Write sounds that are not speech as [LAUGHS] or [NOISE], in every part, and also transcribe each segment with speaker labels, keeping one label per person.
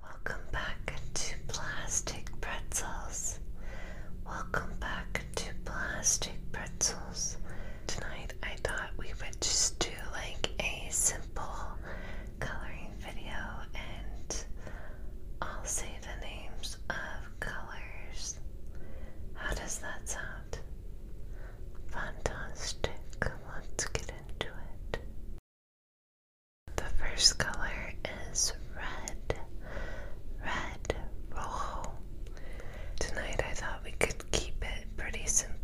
Speaker 1: Welcome back to Plastic Pretzels. Welcome back to Plastic Pretzels. Tonight I thought we would just do like a simple coloring video and i the names of colors. How does that sound? Fantastic. Let's get into it. The first color is red, red rojo. Tonight I thought we could keep it pretty simple.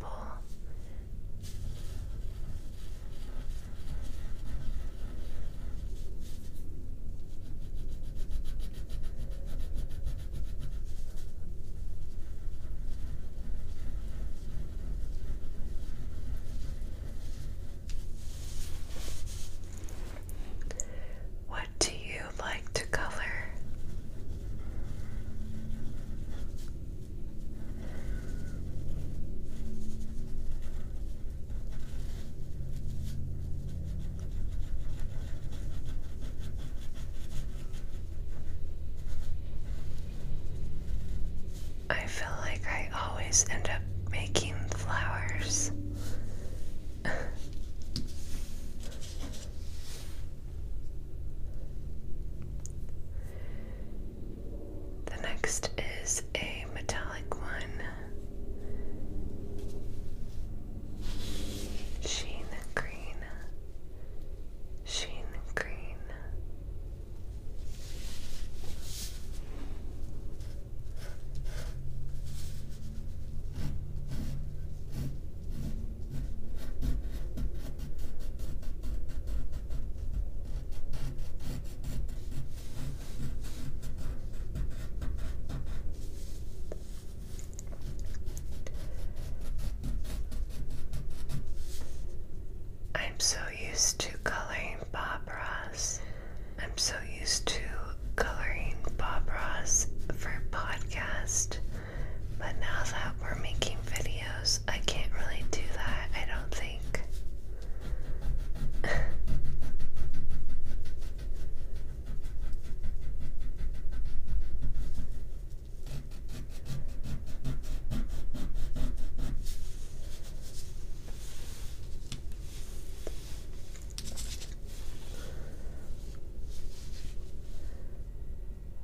Speaker 1: What do you like to color? I feel like I always end up making flowers. the next is a metallic one. Sheen green. Sheen green. I'm so used to coloring Bob Ross. I'm so used to coloring Bob Ross for podcast, but now that we're making videos, I can't really do that, I don't think. [LAUGHS]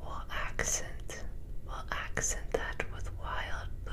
Speaker 1: We'll accent, we'll accent that with wild blue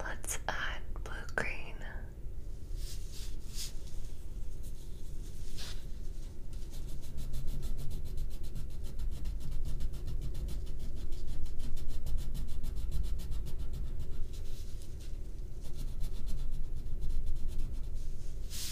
Speaker 1: Let's add blue green.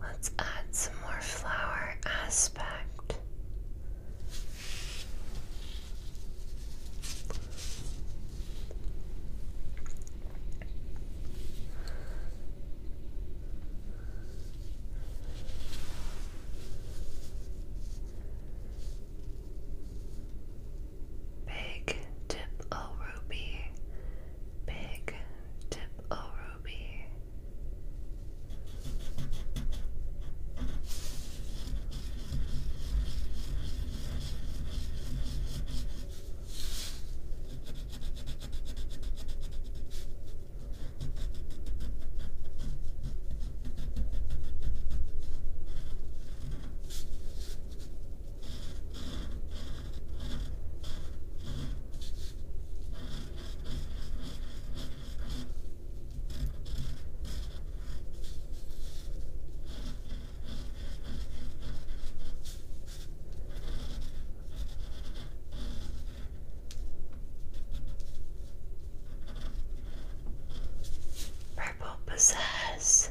Speaker 1: Let's add some more flower aspect. Big tip o ruby, big tip o ruby. Purple possess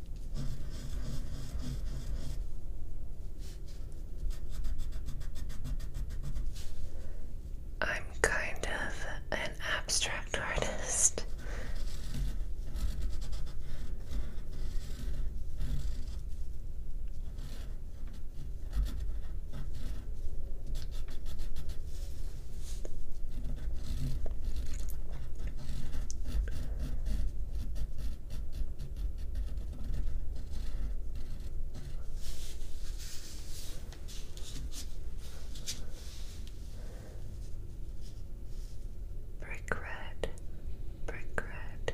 Speaker 1: I'm kind of an abstract artist. Brick red, brick red.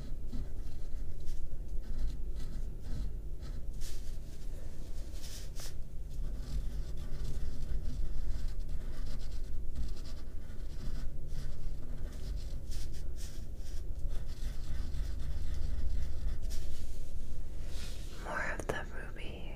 Speaker 1: More of the ruby.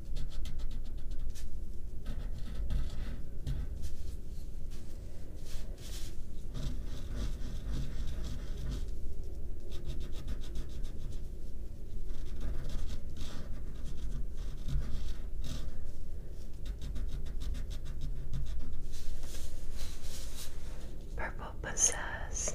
Speaker 1: Purple possess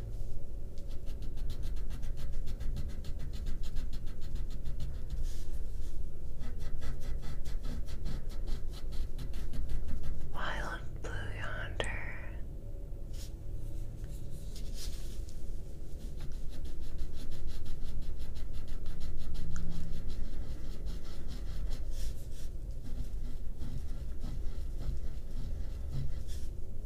Speaker 1: Wild Blue Yonder.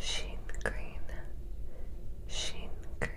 Speaker 1: Sheen green, sheen green.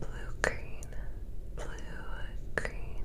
Speaker 1: Blue green, blue green.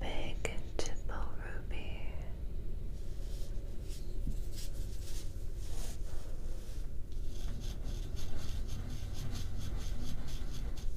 Speaker 1: Big Tipple Ruby.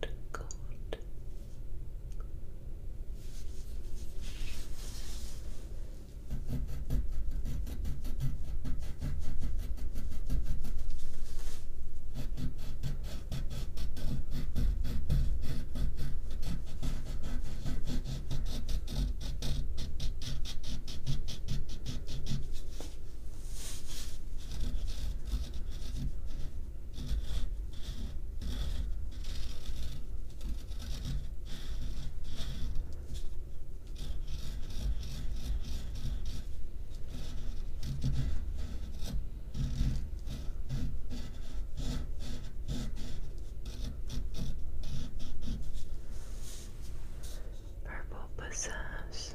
Speaker 1: cold, cold. Purple possess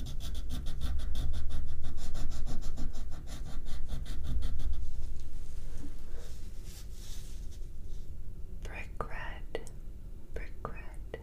Speaker 1: Brick red, brick red.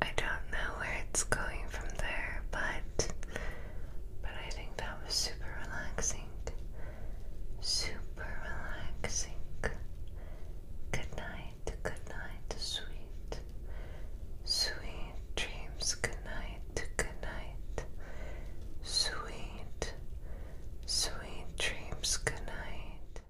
Speaker 1: I don't know where it's going from there, but but I think that was super relaxing. Super relaxing. Good night, good night, sweet. Sweet dreams, good night, good night. Sweet, sweet dreams, good night.